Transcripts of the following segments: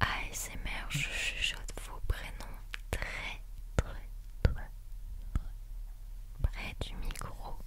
ASMR, je chuchote vos prénoms très très très près du micro.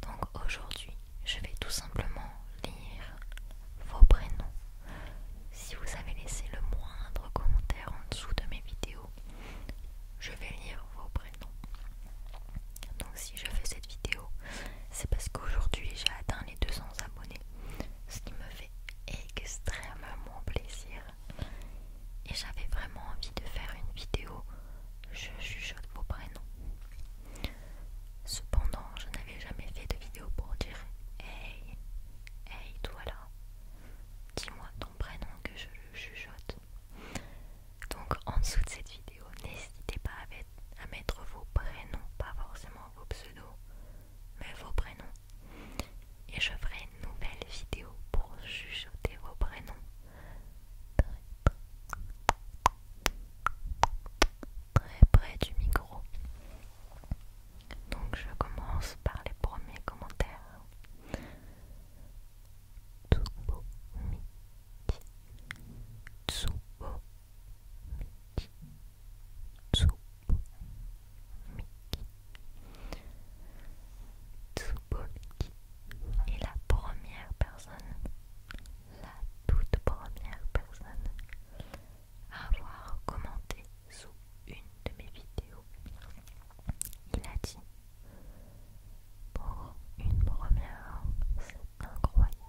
Donc aujourd'hui, je vais tout simplement lire vos prénoms. Si vous avez laissé le moindre commentaire en dessous de mes vidéos, je vais lire vos prénoms. Donc si je fais cette vidéo, c'est parce qu'aujourd'hui j'ai atteint les 200 abonnés ce qui me fait extrêmement plaisir. Et j'avais vraiment envie de faire une vidéo je chuchote vos prénoms. Cependant, je n'avais jamais fait de vidéo pour dire Hey, hey toi là, dis-moi ton prénom que je le chuchote. Donc en dessous de cette vidéo, n'hésitez pas à mettre à mettre vos prénoms, pas forcément vos pseudos, mais vos prénoms. Et je ferai une nouvelle vidéo pour chuchoter vos prénoms. Très près du micro. Donc je commence par les premiers commentaires. Tsubo Miki. Tsubo Miki est la première personne, la toute première personne à avoir commenté sous une de mes vidéos. Il a dit pour une première, c'est incroyable.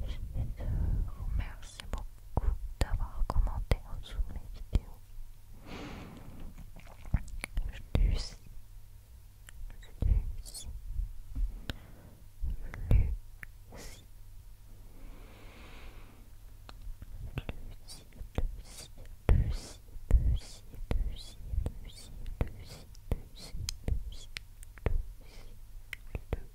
Je vous remercie beaucoup d'avoir commenté en dessous de mes vidéos.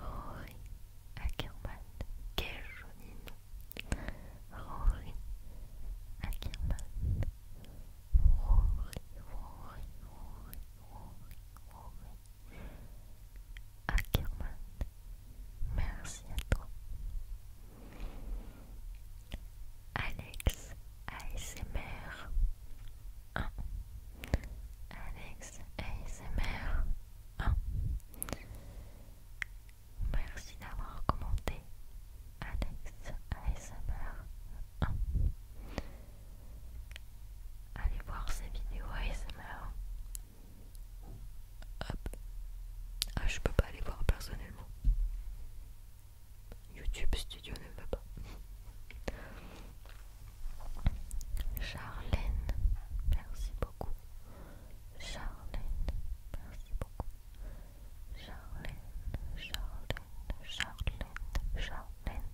Rory Ackerman. Quel joli nom. Rory Ackerman. Rory, Rory, Rory, Rory, Rory. Ackerman. Merci à toi. Alex ASMR 1 Alex ASMR Merci d'avoir commenté Alex ASMR Allez voir ses vidéos ASMR. Ah, je peux pas aller voir personnellement. YouTube Studio ne veut pas. Charlène, merci beaucoup. Charlène, merci beaucoup. Charlène, Charlène, Charlène, Charlène,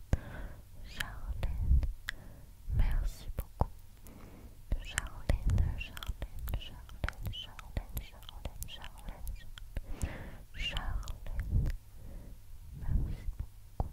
Charlène, merci beaucoup. Charlène, Charlène, Charlène, Charlène, Charlène, Charlène, Charlène, merci beaucoup.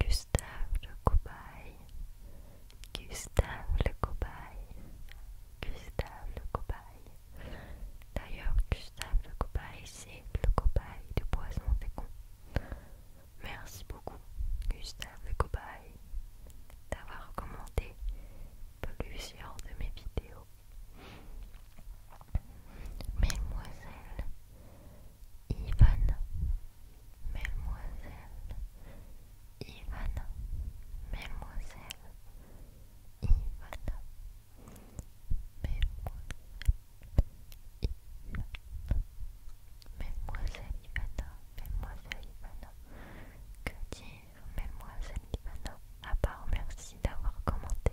Gustave le cobaye, Gustave le cobaye, Gustave le cobaye. D'ailleurs, Gustave le cobaye, c'est le cobaye du poisson cons Merci beaucoup, Gustave le cobaye, d'avoir commenté plusieurs de mes vidéos. Mesdemoiselles, Ivana, mademoiselle, Ivana, mademoiselle, Yvonne, mademoiselle Ivana, mademoiselle Ivana, que dire mademoiselle Ivana? à part merci d'avoir commenté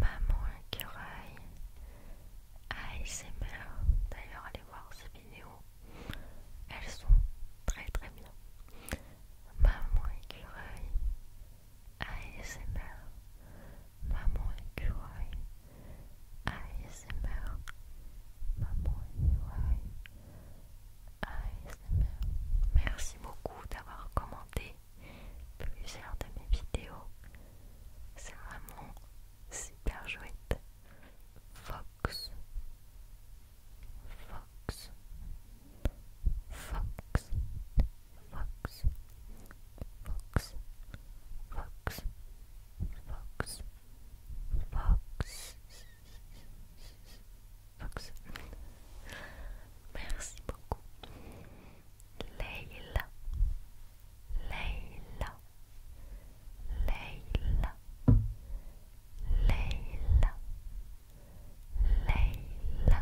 Maman Écureuil ASMR. D'ailleurs, allez voir ces vidéos, elles sont très très bien. Maman Écureuil ASMR. Maman Écureuil ASMR. Maman Écureuil ASMR. Merci beaucoup d'avoir commenté plusieurs de mes vidéos. C'est vraiment super chouette. Fox, Fox, Fox, Fox, Fox, Fox, Fox, Fox, Fox. Merci beaucoup. Leila, Leila, Leila, Leila, Leila,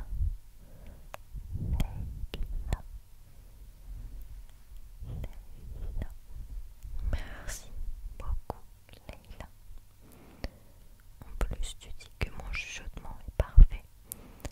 Leila. Merci beaucoup, Leila. En plus, tu dis que mon chuchotement est parfait.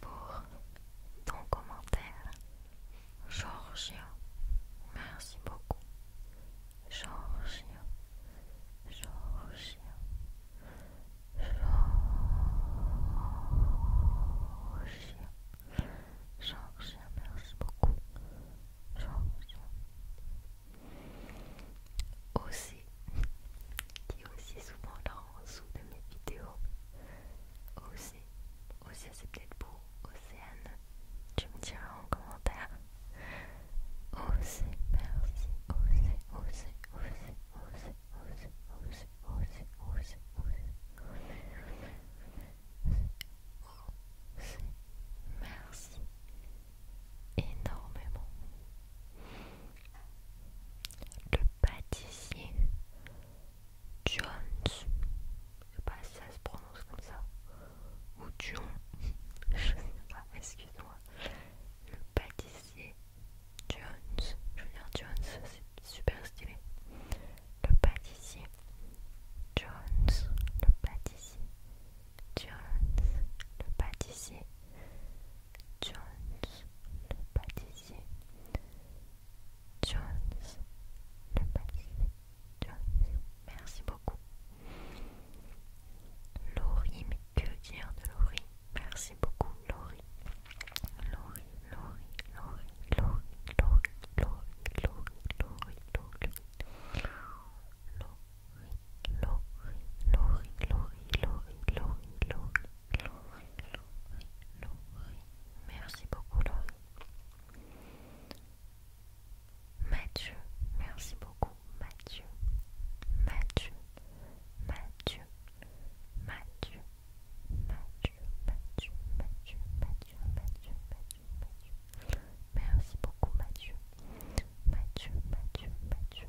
pour ton commentaire. Georgio, merci beaucoup. Georgio, Georgien, Georgien, Georgio, merci beaucoup. Georgien aussi, qui aussi souvent en dessous de mes vidéos, aussi, aussi c'est peut-être pour Océane, tu me diras en commentaire, aussi, merci, merci énormément. Le pâtissier Jones, je sais pas si ça se prononce comme ça, ou Jones. je sais pas, excuse-moi. Le pâtissier Jones, je veux dire Jones, c'est super stylé. Le pâtissier Jones, le pâtissier Jones le pâtissier, Jones le pâtissier, Jones le pâtissier, Merci beaucoup. Laurie, mais que dire de Laurie Merci beaucoup Laurie, Laurie, Laurie, Laurie, Laurie, Laurie, Laurie, Laurie, Laurie, Laurie. Laurie. Laurie, Merci beaucoup, Laurie. Mathieu, merci beaucoup, Mathieu. Mathieu, Mathieu, Mathieu, Mathieu, Mathieu, Mathieu, Mathieu, Mathieu, Mathieu, Mathieu. Merci beaucoup, Mathieu. Mathieu, Mathieu, Mathieu,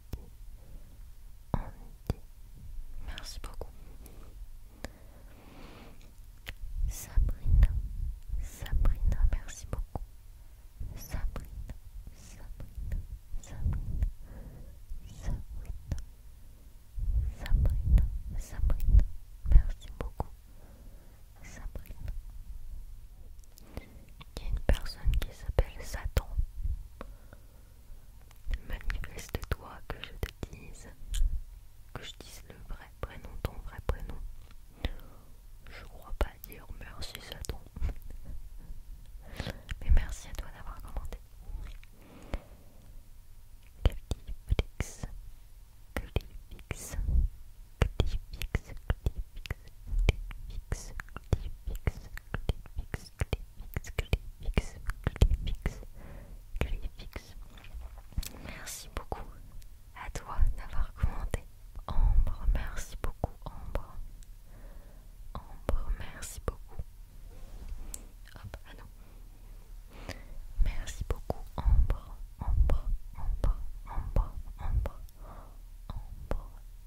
Merci beaucoup. Sabrina, Sabrina, merci beaucoup. Sabrina, Sabrina, Sabrina, Sabrina, Sabrina, Sabrina, merci beaucoup. Sabrina. Il y a une personne qui s'appelle Satan. Manifeste-toi que je te dise, que je dise le vrai prénom, ton vrai prénom. Je crois pas dire merci Satan. Mais merci à toi d'avoir commenté fixe, clé fixe Merci beaucoup à toi d'avoir commenté. Ambre, merci beaucoup Ambre. Ambre, merci beaucoup. Hop, ah non. Merci beaucoup Ambre, Ambre, Ambre, Ambre, Ambre, Ambre,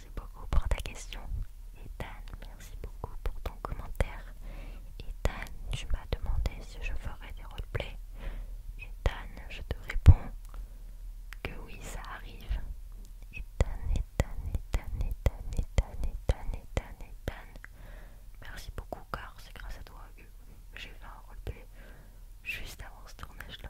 merci beaucoup pour ta question. Etan, merci beaucoup pour ton commentaire. Etan, tu m'as demandé si je ferais des roleplays. Etan, je te réponds que oui, ça arrive. Etan, Etan, Etan, Etan, Etan, Etan, Etan, Etan. Merci beaucoup car c'est grâce à toi que j'ai fait un roleplay juste avant ce tournage là.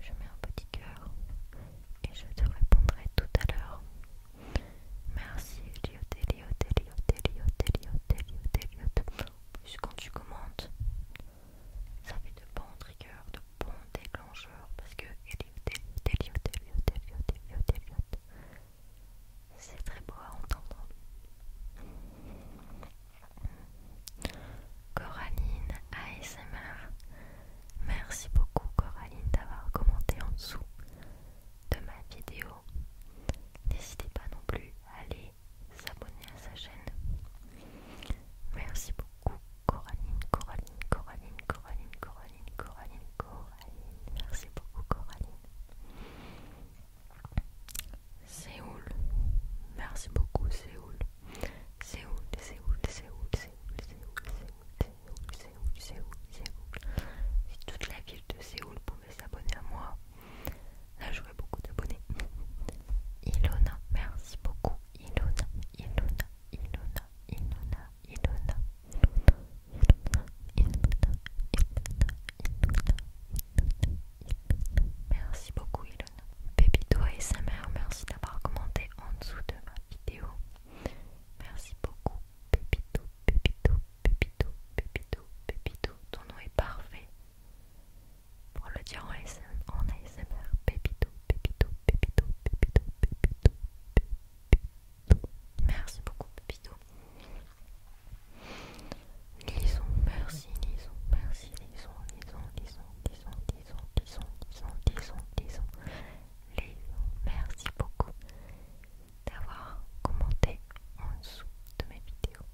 je mets un petit cœur et je te répondrai tout à l'heure. Merci Eliot, Eliot, Eliot, Eliot, Eliot, Eliot, Eliot. En plus quand tu commentes, ça fait de bons triggers, de bons déclencheurs parce que Eliot, Eliot, Eliot, Eliot, Eliot, Eliot, Eliot. C'est très beau à entendre. Coraline ASMR. Merci beaucoup Coraline d'avoir commenté en dessous de ma vidéo. N'hésitez pas non plus à aller s'abonner à sa chaîne. Merci beaucoup Coraline, Coraline, Coraline, Coraline, Coraline, Coraline, Coraline. Merci beaucoup Coraline. Séoul. Merci beaucoup Séoul. Séoul, Séoul, Séoul, Séoul, Séoul, Séoul, Séoul, toute la ville de Séoul pouvait s'abonner à moi. Là, j'aurais beaucoup d'abonnés. Ilona, merci beaucoup. Ilona, Ilona, Ilona, Ilona, Ilona, Ilona, Ilona, Ilona, Ilona, Ilona. Merci beaucoup, Pépito et merci d'avoir commenté en dessous de ma vidéo. Merci beaucoup, Pépito, Pépito, Pépito, Pépito, Pépito. Ton nom est parfait pour le dire en ASMR. En Pépito, Pépito, Pépito, Pépito, Pépito, Merci beaucoup, Pépito. Lisons, merci, lisons, merci, lisons, lisons, lisons, lisons disons, disons, disons, disons, merci beaucoup d'avoir commenté en dessous de mes vidéos.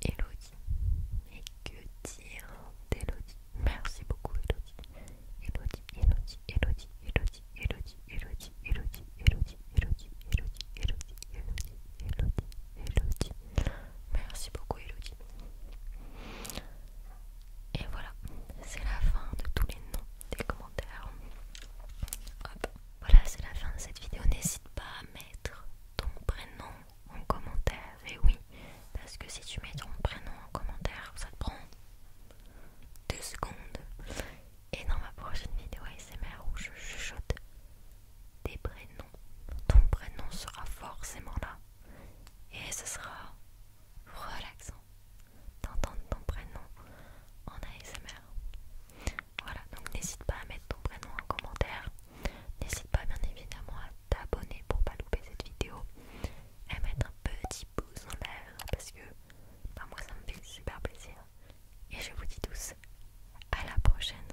Elodie, mais que dire Merci beaucoup Elodie. Elodie, Elodie, Elodie, Elodie, Elodie, Elodie, Elodie, Elodie, Elodie, Elodie, Elodie, Elodie, Elodie, Elodie. Merci beaucoup Elodie. Et voilà, c'est la fin de tous les noms des commentaires. Hop. Voilà, c'est la fin de cette vidéo. N'hésite pas à mettre ton prénom en commentaire. Et oui, parce que si tu mets ton prénom en commentaire, ça te prend deux secondes. Et dans ma prochaine vidéo ASMR où je chuchote des prénoms. Ton prénom sera forcément là. Et ce sera relaxant d'entendre ton prénom en ASMR. Voilà, donc n'hésite pas à mettre ton prénom en commentaire. N'hésite pas bien évidemment à t'abonner pour pas louper cette vidéo. Et mettre un petit pouce en l'air parce que bah, moi ça me fait super plaisir. Et je vous dis tous à la prochaine.